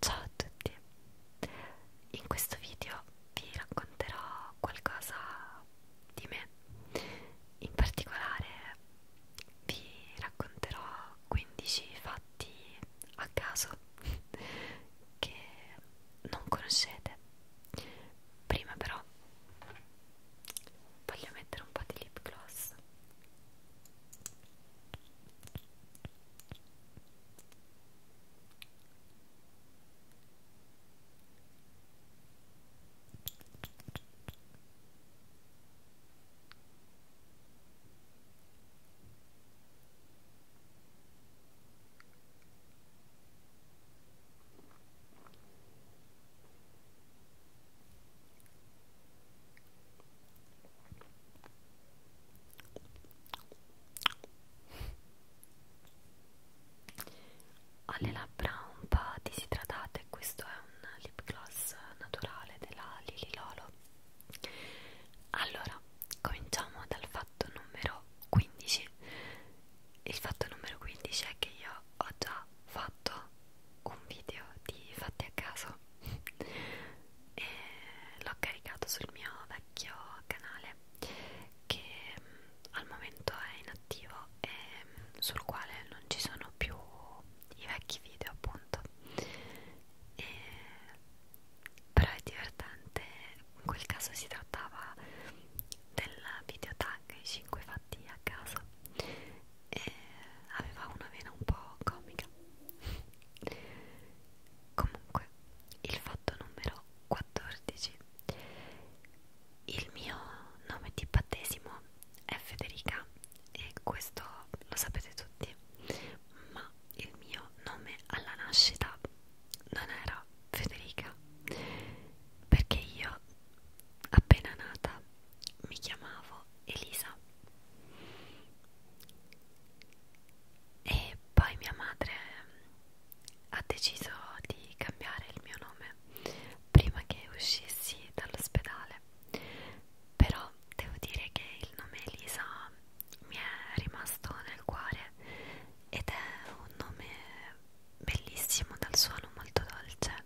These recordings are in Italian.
Ciao a tutti, in questo video vi racconterò qualcosa di me, in particolare vi racconterò 15 fatti a caso che non conoscete prima però voglio mettere un po' di lip gloss ho le labbra un po' disidratate, questo è un lip gloss naturale della Lily Lolo. Allora, cominciamo dal fatto numero 15 il fatto numero 15 è che io ho già fatto un video di fatti a caso e l'ho caricato sul mio vecchio canale che mm, al momento è inattivo e mm, sul quale non ci sono più i vecchi video appunto e, però è divertente in quel caso si trattava del video tag i 5 fatti a casa e aveva una vena un po' comica comunque il fatto numero 14 il mio nome di battesimo è Federica e questo lo sapete tutti ma il mio nome alla nascita non era Federica perché io appena nata mi chiamavo Elisa e poi mia madre ha deciso di cambiare il mio nome prima che uscissi dall'ospedale però devo dire che il nome Elisa mi è rimasto nel cuore ed è un nome bellissimo dal suono molto dolce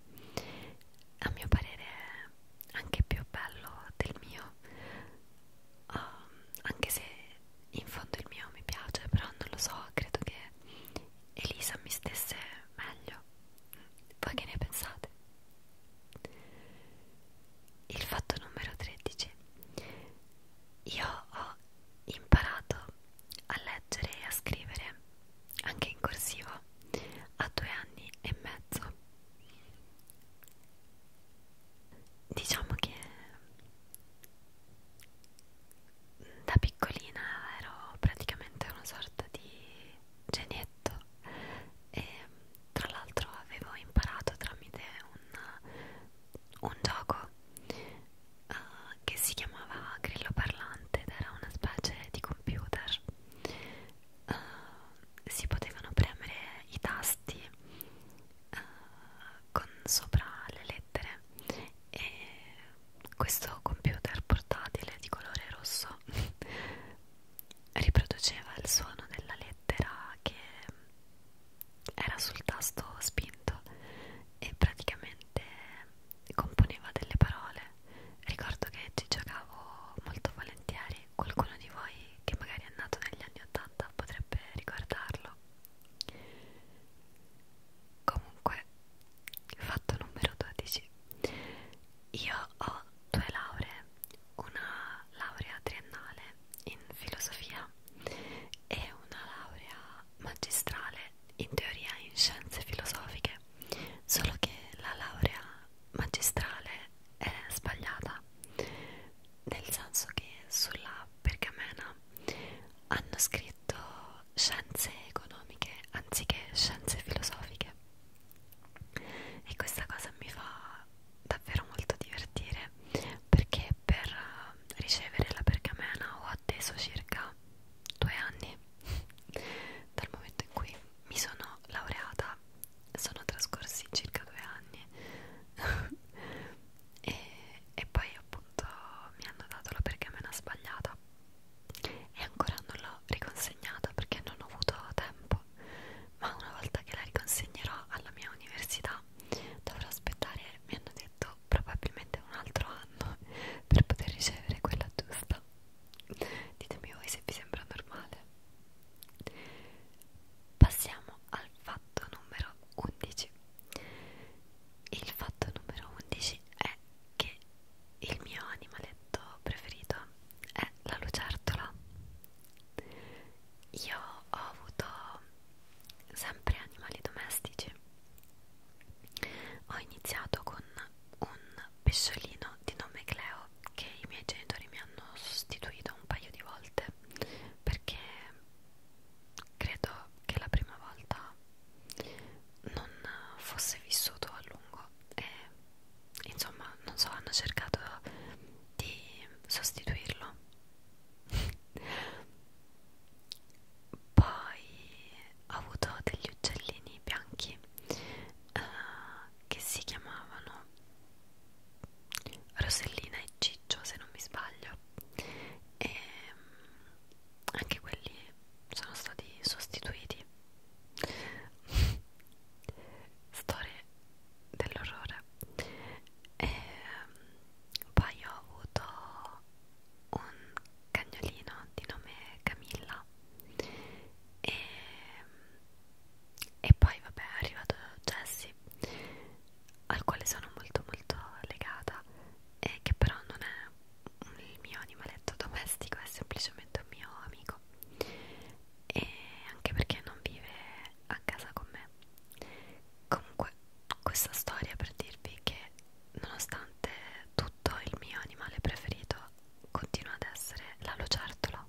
a mio parere anche più bello del mio um, anche se in fondo il mio mi piace però non lo so credo che Elisa mi stesse meglio voi che ne pensate? il fatto numero 13 io ho imparato a leggere e a scrivere anche in corsivo a due anni e mezzo diciamo che da piccolina ero praticamente una sorta di genietto e tra l'altro avevo imparato tramite un, un gioco uh, che si chiamava Grillo Parlante ed era una specie di computer. Uh, si potevano premere i tasti uh, con sopra le lettere e questo computer portatile di colore rosso riproduceva il suono della lettera che era sul tasto spinto e praticamente componeva delle parole. Ricordo che ci giocavo molto volentieri, qualcuno di voi che magari è nato negli anni 80 potrebbe ricordarlo. Comunque, fatto numero 12. Io ho due lauree, una laurea triennale in filosofia e una laurea magistrale in teoria in scienze filosofiche, solo che la laurea magistrale è sbagliata, nel senso che sulla pergamena hanno scritto scienze economiche anziché scienze filosofiche e questa cosa mi fa davvero molto divertire perché per eh, ricevere la pergamena ho atteso circa due anni dal momento in cui mi sono laureata sono trascorsi circa due anni e, e poi appunto mi hanno dato la pergamena sbagliata e ancora non l'ho riconsegnata perché non ho avuto tempo ma una volta che la riconsegnerò alla mia università realtà dovrò aspettare, mi hanno detto, probabilmente un altro anno per poter ricevere quella giusta. Ditemi voi se vi sembra normale. Passiamo al fatto numero 11. Il fatto numero 11 è che il mio animaletto preferito è la lucertola. Io ho avuto sempre animali domestici ho iniziato con un pesciolino di nome Cleo che i miei genitori mi hanno sostituito un paio di volte perché credo che la prima volta non fosse vissuto a lungo e insomma non so hanno cercato di sostituirlo poi ho avuto degli uccellini bianchi uh, che si chiamavano Rosellina e Ciccio se non mi sbaglio e mm, anche quelli sono stati sostituiti storie dell'orrore e ehm, poi ho avuto un cagnolino di nome Camilla e, ehm, e poi vabbè è arrivato Jessie al quale sono molto molto legata e che però non è il mio animaletto domestico è semplicemente un mio amico e anche perché non vive a casa con me comunque questa storia per dirvi che nonostante tutto il mio animale preferito continua ad essere la lucertola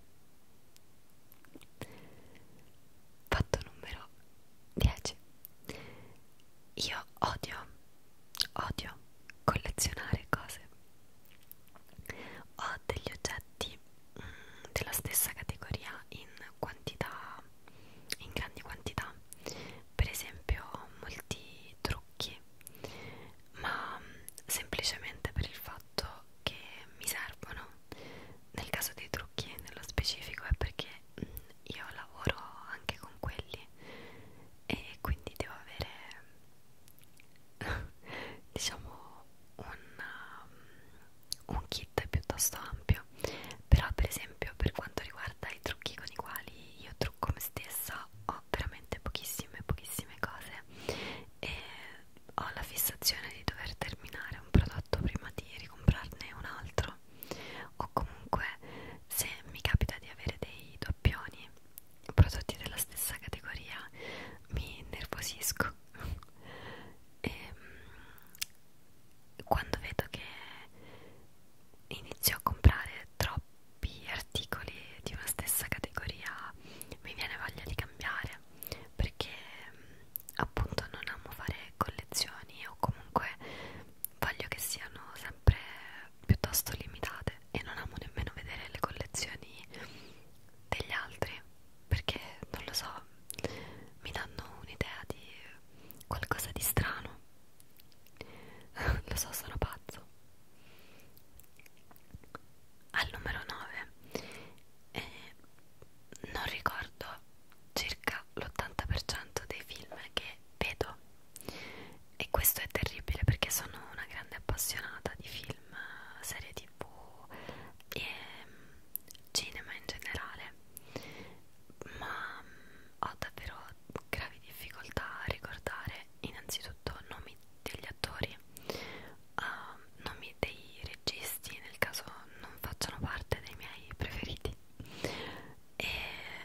fatto numero 10 io odio odio collezionare cose ho degli oggetti della stessa categoria in quantità in grandi quantità per esempio molti trucchi ma semplicemente per il fatto che mi servono nel caso dei trucchi nello specifico è perché mm, io lavoro anche con quelli e quindi devo avere diciamo un um, un kit piuttosto ampio però per esempio per quanto riguarda i trucchi con i quali io trucco me stessa ho veramente pochissime pochissime cose e ho la fissazione di dover terminare un prodotto prima di ricomprarne un altro o comunque se mi capita di avere dei doppioni prodotti della stessa categoria mi nervosisco e ehm, quando vedo che inizio a comprare troppi articoli di una stessa categoria mi viene voglia di cambiare perché appunto non amo fare collezioni o comunque voglio che siano sempre piuttosto limitate e non amo nemmeno vedere le collezioni degli altri perché non lo so, mi danno un'idea di qualcosa di strano. lo so, sono pazzo. Al numero 9 eh, non ricordo circa l'80% dei film che vedo e questo è terribile perché sono una grande appassionata di film, serie tv tv e mm, cinema in generale ma mm, ho davvero gravi difficoltà a ricordare innanzitutto nomi degli attori uh, nomi dei registi nel caso non facciano parte dei miei preferiti e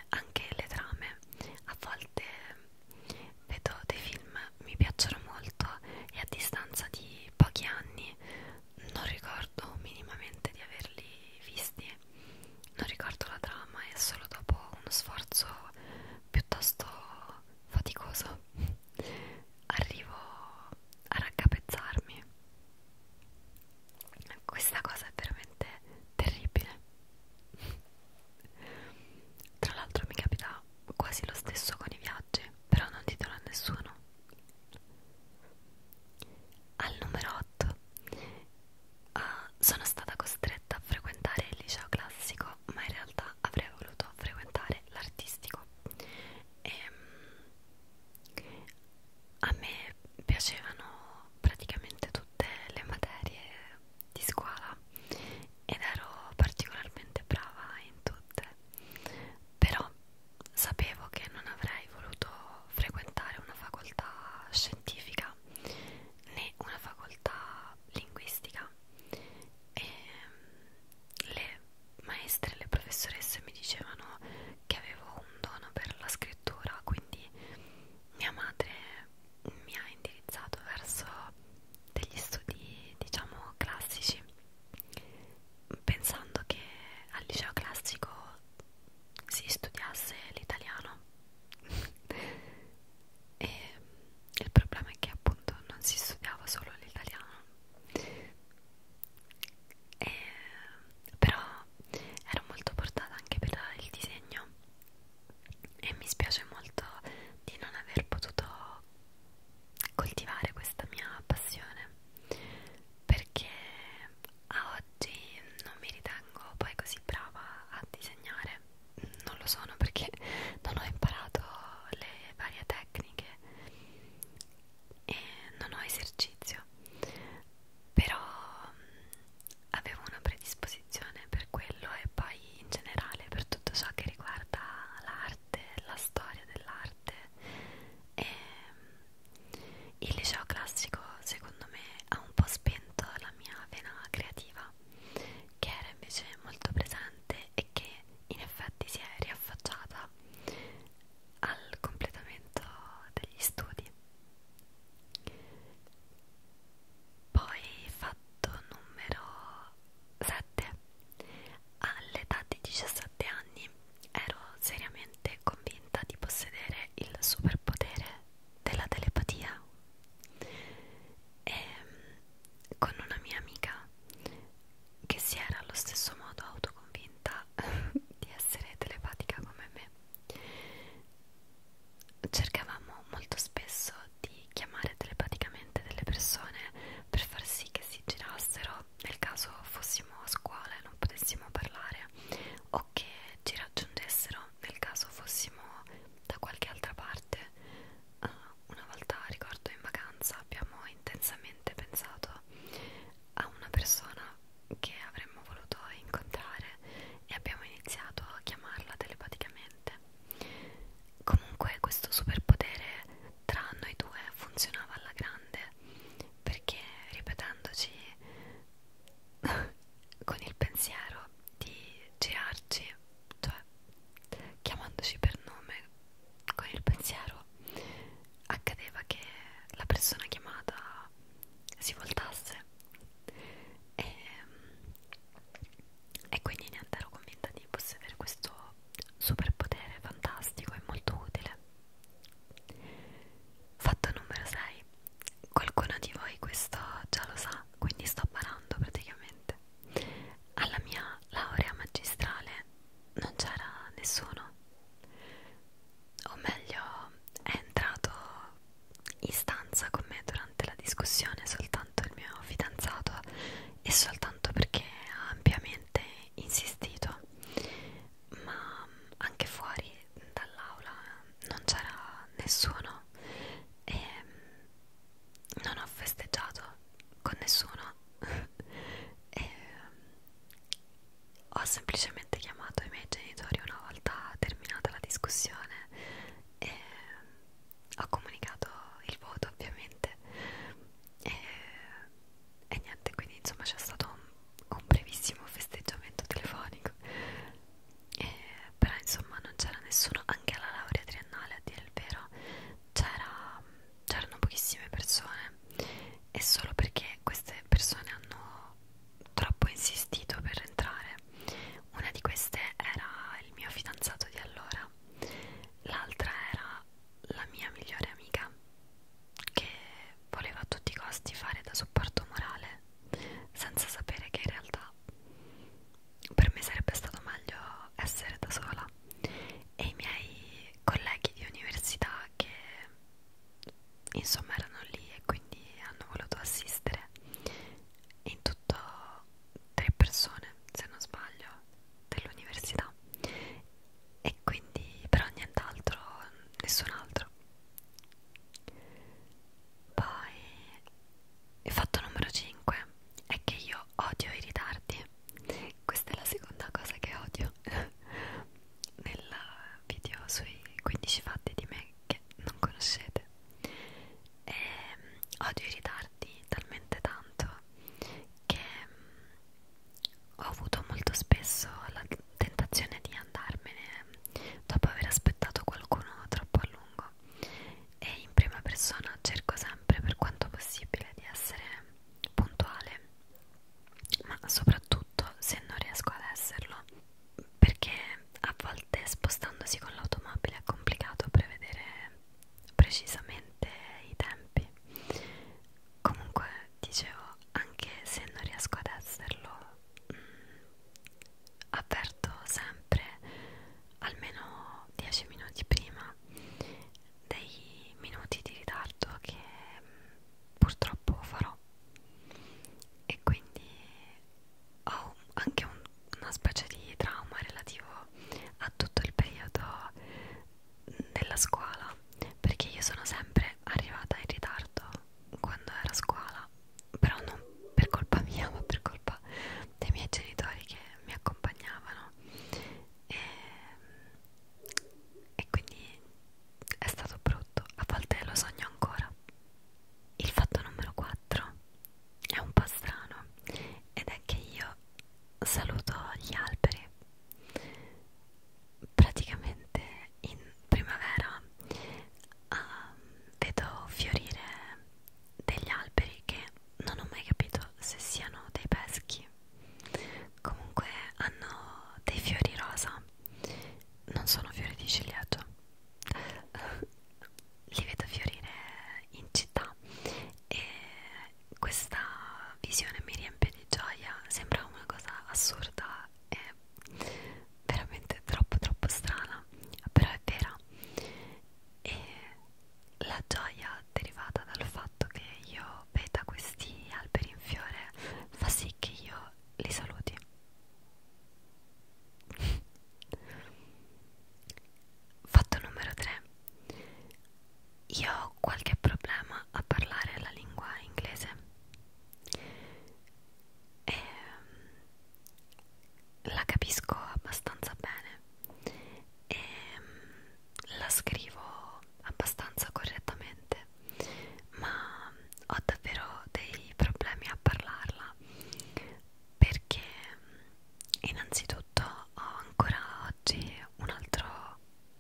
anche le trame a volte mm, vedo dei film mi piacciono molto e a distanza di pochi anni non ricordo minimamente di averli visti, non ricordo la trama e solo dopo uno sforzo piuttosto faticoso arrivo a raccapezzarmi. Questa cosa è veramente terribile. Tra l'altro mi capita quasi lo stesso con i viaggi, però non ditelo a nessuno. Al numero 8 uh, ah, sono stata costretta a frequentare il liceo classico, ma in realtà avrei voluto frequentare l'artistico. E, ehm, a me piacevano praticamente tutte le materie di scuola ed ero particolarmente brava in tutte, però sapevo che non avrei voluto frequentare una facoltà scientifica né una facoltà linguistica e mm, le maestre, le professoresse mi dicevano che avevo un dono per la scrittura, quindi mia madre mi ha indirizzato verso degli studi diciamo classici pensando che al liceo classico si studiasse l'italiano e il problema è che appunto non si studiava solo l'italiano però ero molto portata anche per il disegno e mi spiace molto di non aver potuto coltivare questa mia passione perché a oggi non mi ritengo poi così brava a disegnare non lo sono perché non ho imparato le varie tecniche e non ho esercizio però avevo una predisposizione per quello e poi in generale per tutto ciò che riguarda l'arte la storia dell'arte arte e ehm, il liceo classico secondo me ha un po' spento la mia vena creativa che era invece molto presente e che in effetti si è riaffacciata al completamento degli studi poi fatto numero 7 All'età di 17 anni ero seriamente convinta di possedere il superpotere della telepatia e mm, con una mia amica che si era allo stesso modo autoconvinta di essere telepatica come me cercavamo molto spesso di chiamare telepaticamente delle persone per far sì che si girassero nel caso fossimo a scuola e non potessimo parlare o che ci raggiungessero nel caso fossimo da qualche altra parte uh, una volta ricordo in vacanza abbiamo intensamente pensato a una persona che avremmo voluto incontrare e abbiamo iniziato a chiamarla telepaticamente comunque questo superpotere tra noi due funzionava alla grande perché ripetendoci con il pensiero di girarci cioè chiamandoci per nome con il pensiero accadeva che la persona chiamata si voltasse e, ehm, e quindi niente ero convinta di possedere questo superpotere fantastico e molto utile. Fatto numero 6. Qualcuno di voi questo già lo sa, quindi sto parando praticamente. Alla mia laurea magistrale non c'era nessuno. O meglio, è entrato in stanza con me durante la discussione soltanto il mio fidanzato e soltanto perché ha ampiamente veramente insistito ma anche fuori dall'aula non c'era nessuno e non ho festeggiato con nessuno e ho semplicemente chiamato i miei genitori una volta terminata la discussione e ho comunicato il voto ovviamente e, e niente quindi insomma c'è stato un, un brevissimo festeggiamento telefonico e, però insomma non c'era nessuno anche alla laurea triennale a dire il vero c'erano pochissime persone e solo perché queste persone hanno troppo insistito per entrare una di queste era il mio fidanzato di allora l'altra era la mia migliore amica che voleva a tutti i costi fare da supporto morale senza sapere che in realtà per me sarebbe stato meglio essere da sola e i miei colleghi di università che insomma erano lì e quindi hanno voluto assistere in tutto tre persone se non sbaglio dell'università e quindi però nient'altro, nessun altro. Poi il fatto numero 5 è che io odio i ritardi. Questa è la seconda cosa che odio nel video sui 15 fatti di me che non conoscete. E, ehm, odio i ritardi talmente tanto che mm, ho avuto molto spesso la tentazione di andarmene mm, dopo aver aspettato qualcuno troppo a lungo e in prima persona cerco sempre per quanto possibile di essere mm, puntuale ma soprattutto se non riesco ad esserlo perché a volte spostandosi con l'automobile è complicato prevedere precisamente i tempi comunque dicevo anche se non riesco ad esserlo mh, mm, avverto sempre almeno 10 minuti prima dei minuti di ritardo che mh, mm, purtroppo farò e quindi ho anche un, una specie di trauma relativo a tutto il periodo della scuola perché io sono sempre arrivata in ritardo quando ero a scuola però non per colpa mia ma per colpa dei miei genitori che mi accompagnavano e, e quindi è stato brutto a volte lo sogno ancora il fatto numero 4 è un po' strano ed è che io saluto gli alberi praticamente in primavera uh, vedo fiorire degli alberi che non ho mai capito se siano dei peschi comunque hanno dei fiori rosa non sono fiori di ciliegio li vedo fiorire in città e questa visione mi riempie di gioia, sembra una cosa assurda e veramente troppo troppo strana, però è vera e la gioia derivata dal fatto che io veda questi alberi in fiore fa sì che io li saluti Fatto numero 3. Io ho qualche problema a parlare la lingua inglese. E ehm, la capisco abbastanza bene e ehm, la scrivo abbastanza correttamente, ma ho davvero dei problemi a parlarla perché innanzitutto ho ancora oggi un'altra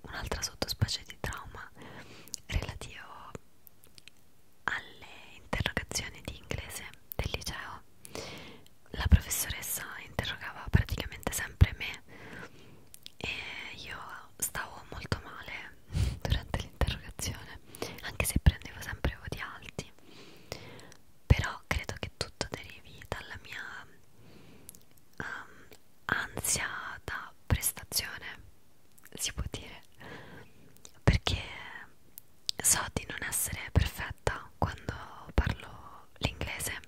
un sottospecie di trauma relativo alle interrogazioni di inglese del liceo la professoressa interrogava praticamente sempre me e io stavo molto male durante l'interrogazione anche se prendevo sempre voti alti però credo che tutto derivi dalla mia um, ansia da prestazione, si può dire, perché so di non essere perfetta quando parlo l'inglese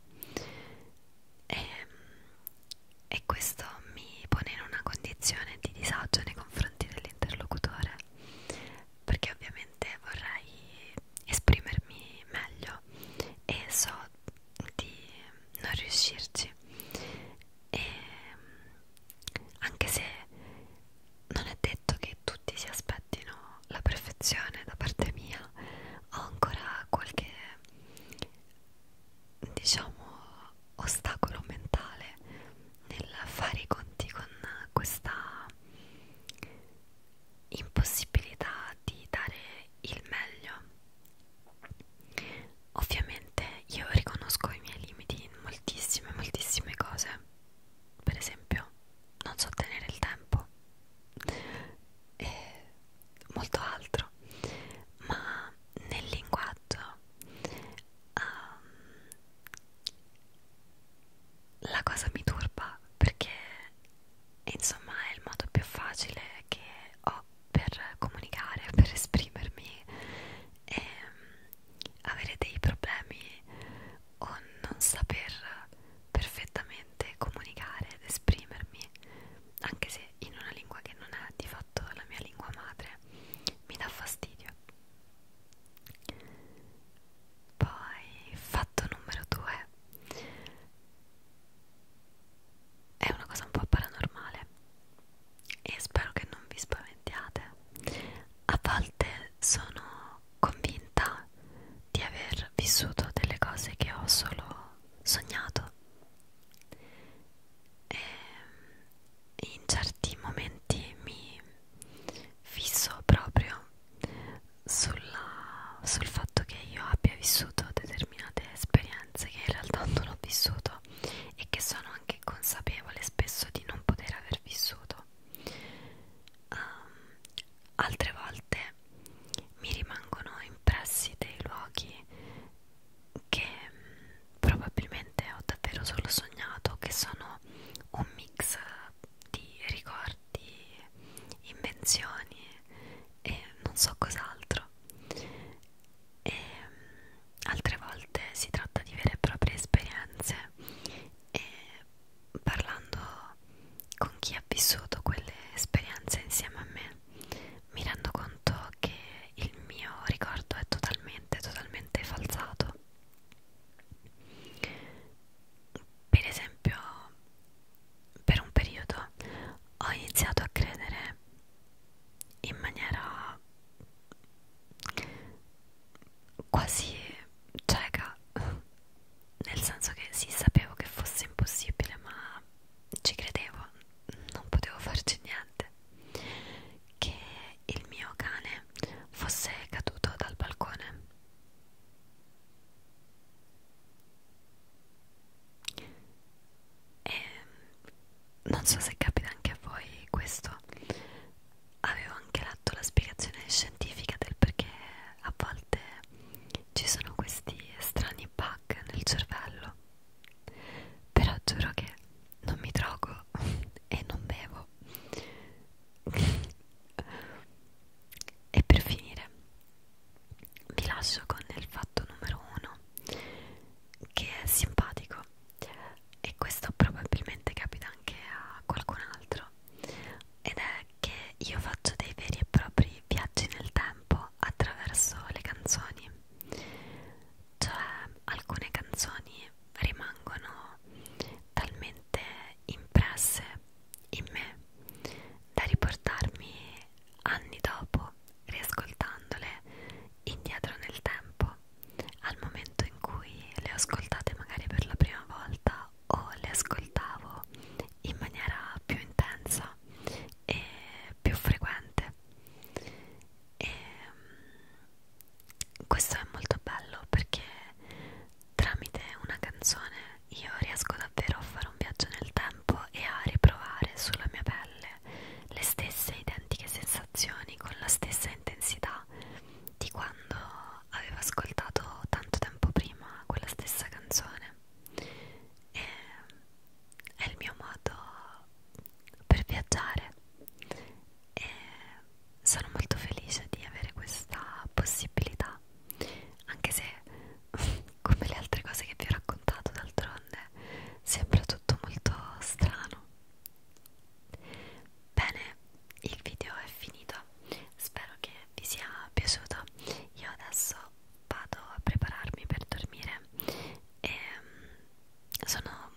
e, e questo mi pone in una condizione di disagio nei confronti dell'interlocutore perché ovviamente vorrei esprimermi meglio e so di non riuscirci e anche se non è detto che tutti si aspettino la perfezione da parte mia ho ancora qualche diciamo ostacolo mentale nel fare i conti con questa impossibilità di dare il meglio. Ovviamente io riconosco i miei limiti in moltissime, moltissime cose. Per esempio, non so tenere il tempo e molto altro, ma nel linguaggio um, la cosa mi turba perché insomma è il modo più facile che ho per comunicare, per esprimermi e mm, avere dei problemi o non saper perfettamente comunicare ed esprimermi anche se in una lingua che non è di fatto la mia lingua madre mi dà fastidio poi, fatto numero 2 è una cosa un po' paranormale e spero che non vi spaventiate. A volte sono convinta di aver vissuto delle cose che ho solo sognato e in certi momenti mi fisso proprio sulla, sul fatto che io abbia vissuto determinate esperienze che in realtà non ho vissuto e che sono anche consapevole spesso di non poter aver vissuto. Um, altre volte mi rimangono impressi dei luoghi che mm, probabilmente ho davvero solo sognato, che sono un mix di ricordi scarti, invenzioni e non so cos'altro. E mm, altre volte si tratta di vere e proprie esperienze e parlando con chi ha vissuto quelle esperienze insieme a me mi rendo conto che il mio ricordo è totalmente, totalmente falsato per esempio per un periodo ho iniziato a credere in maniera quasi cieca nel senso che sì sapevo che fosse impossibile ma ci credevo non potevo farci niente che il mio cane fosse caduto dal balcone e ehm, non so se capita anche a voi questo. Avevo anche letto la spiegazione scientifica del perché a volte ci sono questi strani bug nel cervello. Però giuro che non mi drogo e non bevo e per finire vi lascio con il fatto numero uno che è simpatico e questo probabilmente capita anche a qualcun altro ed è che io faccio dei veri e propri viaggi nel tempo attraverso le canzoni cioè alcune canzoni rimangono talmente impresse in me da riportarmi anni dopo, riascoltandole indietro nel tempo, al momento in cui le ho ascoltate magari per la prima volta o le ascoltavo in maniera più intensa e più frequente. E questo è molto bello perché tramite una canzone io riesco davvero a fare un viaggio nel tempo e a riprovare sulla mia pelle le stesse identiche sensazioni con la stessa intensità di quando avevo ascoltato tanto tempo prima quella stessa canzone e è il mio modo per viaggiare e sono molto felice di avere questa possibilità anche se come le altre cose che vi ho raccontato d'altronde sembra tutto molto strano bene il video è finito spero che vi sia piaciuto io adesso vado a prepararmi per dormire e ehm, sono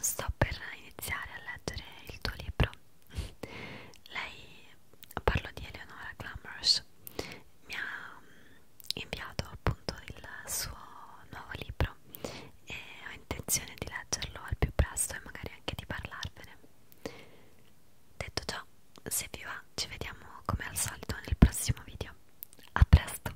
sto per iniziare a leggere il tuo libro lei parlo di Eleonora Glamours mi ha mm, inviato appunto il suo nuovo libro e ho intenzione di leggerlo al più presto e magari anche di parlarvene detto ciò se vi va ci vediamo come al solito nel prossimo video a presto